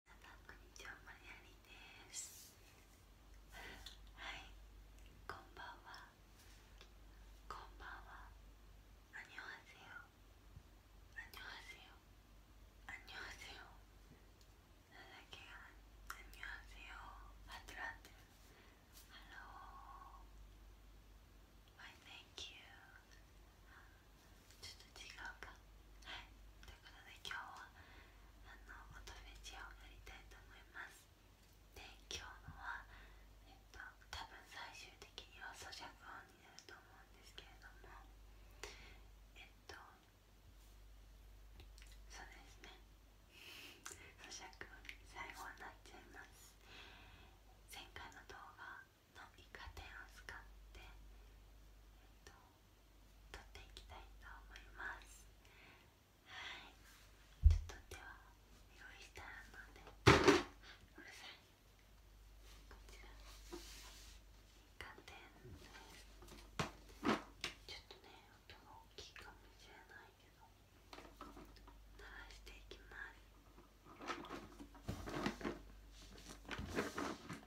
皆さんこんにちは、マリアリです。はい、こんばんは。こんばんは。あにょはせよ。あにょはせよ。あにょはせよ。なんだっけあにょはせあってん。あってる。h e ちょっと違うかはいということで今日はあの音フェチをやりたいと思いますで今日のはえっと多分最終的には咀嚼音になると思うんですけれどもえっとそうですね咀嚼音に最後はなっちゃいます前回の動画のイカ天を使って、と、っていきたいと思いますはいちょっとでは用意したのるさいこちらイカ天ですちょっとね音が大きいかもしれないけど鳴らしていきますなん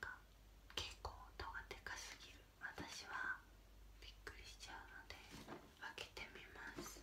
か結構音がでかすぎる私はびっくりしちゃうので開けてみます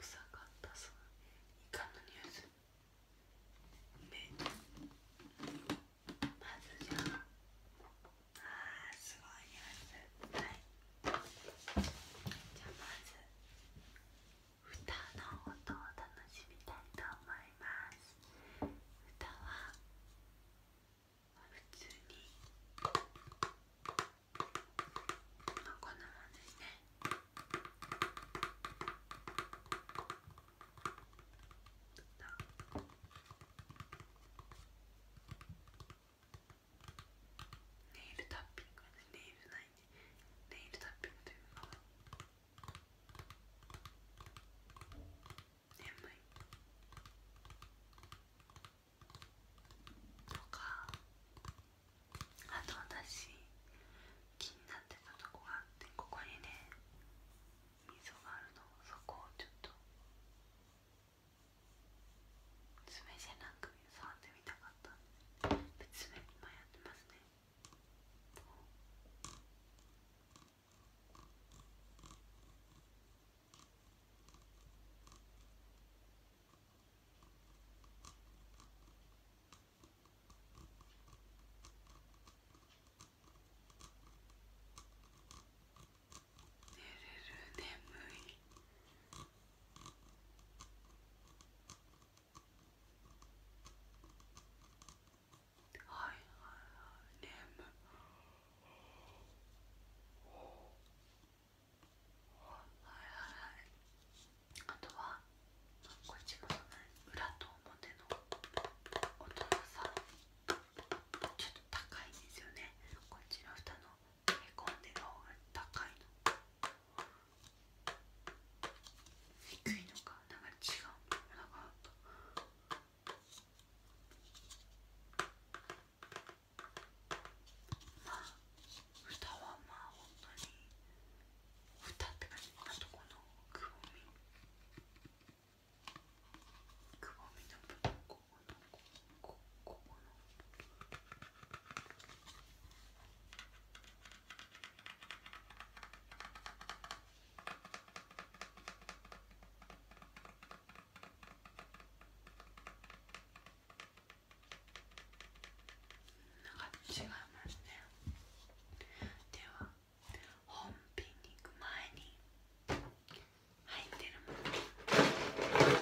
臭かったそのイカのニュースめまずじゃああすごいニュースはいじゃあまず歌の音を楽しみたいと思います歌は普通にまあこんなもんですねネイルタッピングネイルないねネイルタッピングというか眠いあと私気になってたとこがあってここにね溝があるのそこをちょっと爪じゃなく触ってみたかったんで爪今やってますねこ寝れる眠いはいはいはい眠あとはこっちの裏と表の音がさちょっと高いんですよねこっちの蓋のへこんでる方が高いの低いのかなんか違うのかなかまあ蓋はまあ本当に蓋って感じあとこのくぼみくぼみの部分ここのここのここの。こなんか違いますねでは本品に行く前に入ってるもの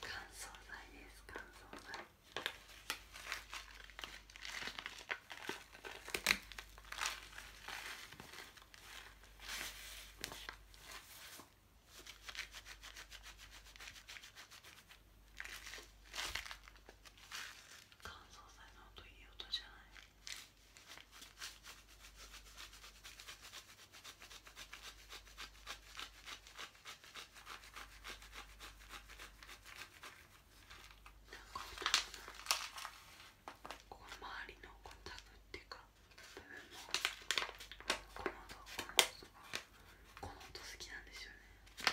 乾燥剤です乾燥剤乾燥剤の音いい音じゃないこの周りのタブっていうか部分もこの音この音がこの音好きなんですよねこ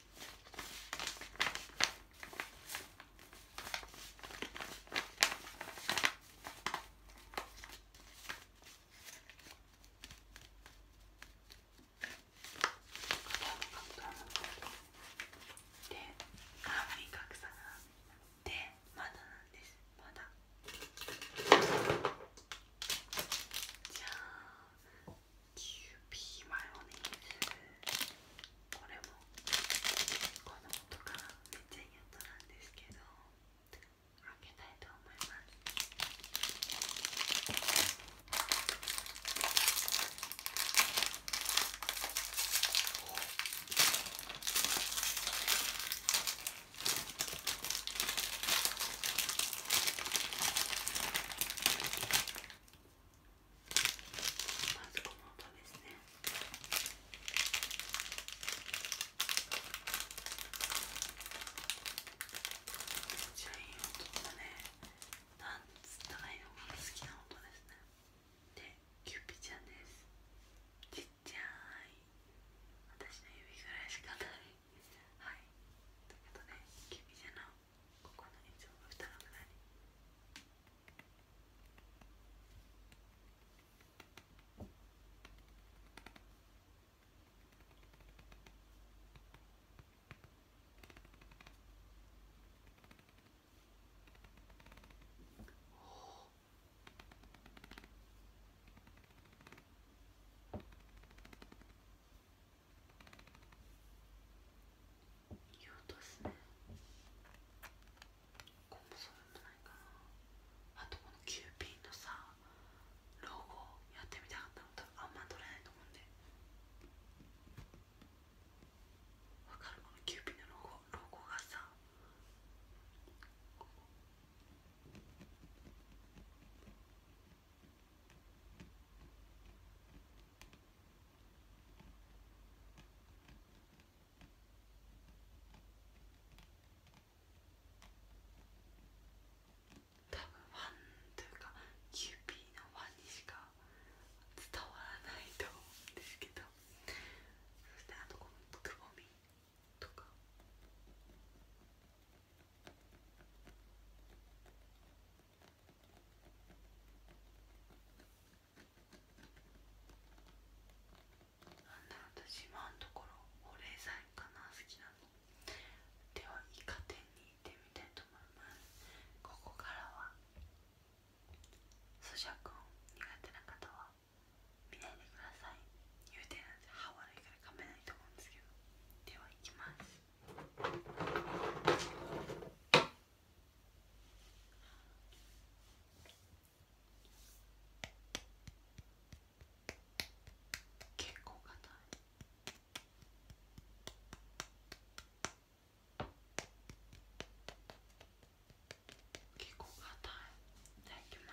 であん格差があってまだなんですまだじゃあキューピーマヨネーズこれもこの音がめっちゃ嫌なんですけど開けたいと思いますまずこの音ですねめっちゃい音だねなんつったらいいのか好きな音ですねでキューピちゃんですちっちゃい私の指ぐらいしかないはいということでキュピちゃのここのいつも蓋の裏においい音ですねここもそういうのないかなあとこのキューピーのさロゴやってみたかったの多あんま撮れないと思うんでわかるこのキューピーのロゴロゴがさ多分ファンというかキューピーのファンにしか伝わらないと思うんですけどそしてあとこのくぼみとか私今のところ保冷剤かな好きなのではイカ店に行ってみたいと思いますここからは咀嚼音苦手な方は見ないでください言うて歯悪いから噛めないと思うんですけどでは行きます結構硬い。結構硬い。いきま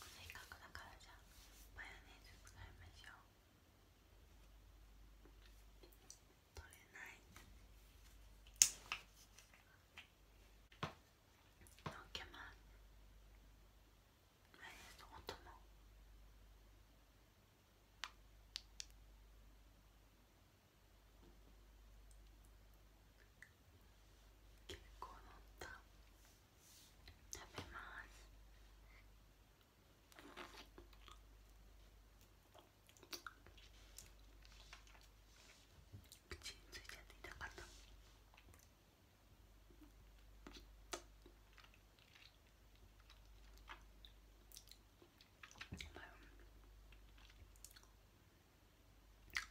せっかくだからじゃあマヨネーズ使いましょう取れないのけまマヨネーズの音も。結構乗っ食べます口についちゃって痛かった。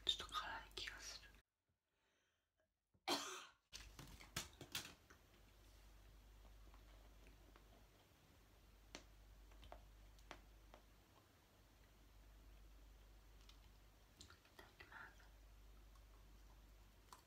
ちょっと辛い気がする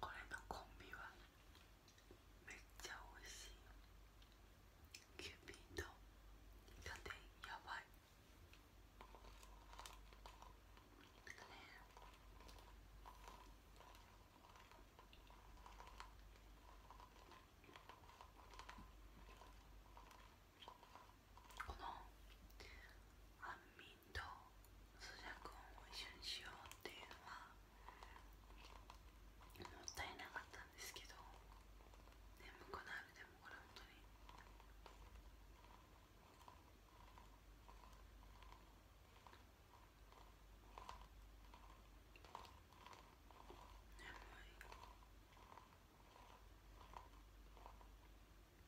これのコンビはめっちゃ美味しいキューピーと家電やばいこの安眠ンと咀嚼音を一緒にしようっていうのはもったいなかったんですけど眠くなるでもこれ本当に。眠い。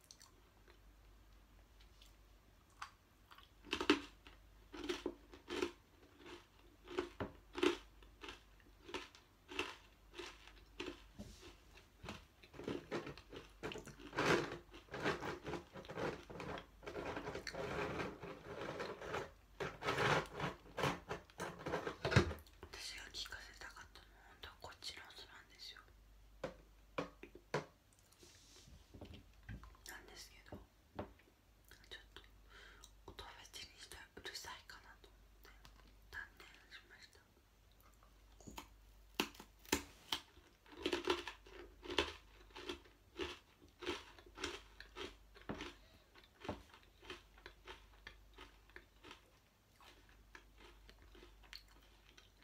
私が聞かせたかったのはこっちの音なんですよ。なんですけどちょっと音別にしてうるさいかなと思って断念しました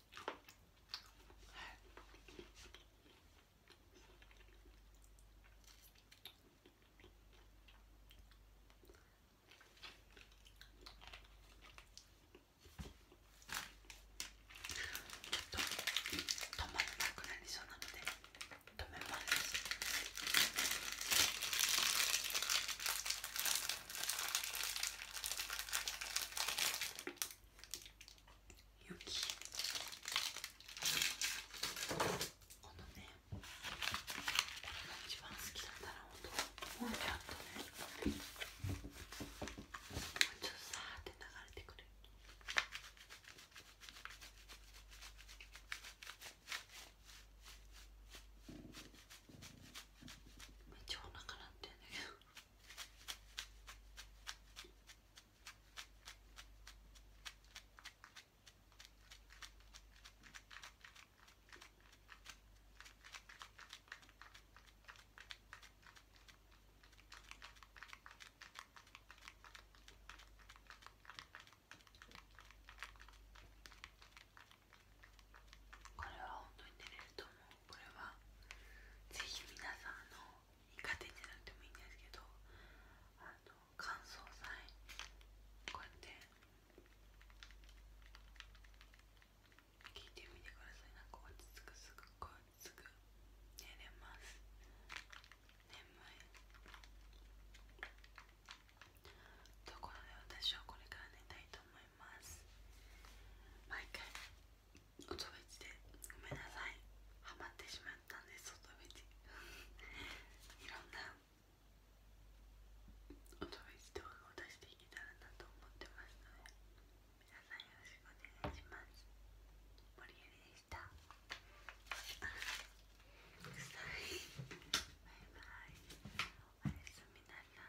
と止まらなくなりそうなので止めます。雪このね一番好きなんだろうともうちょっとねもうちょっとさーって流れてくるめっちお腹なってんだけどこれは本当に寝れると思うこれはぜひ皆さんの苦手じゃなくてもいいんですけどあの乾燥剤こうやって聞いてみてくださいなんか落ち着くすぐこうすく。寝れます寝眠いところで私はこれから寝たいと思います毎回おとべちでごめんなさいはまってしまったんですおとべちいろんなおとべち動画を出していけたらなと思ってますので皆さんよろしくお願いします森ゆりでしたあ くさいバイバイおやすみなさい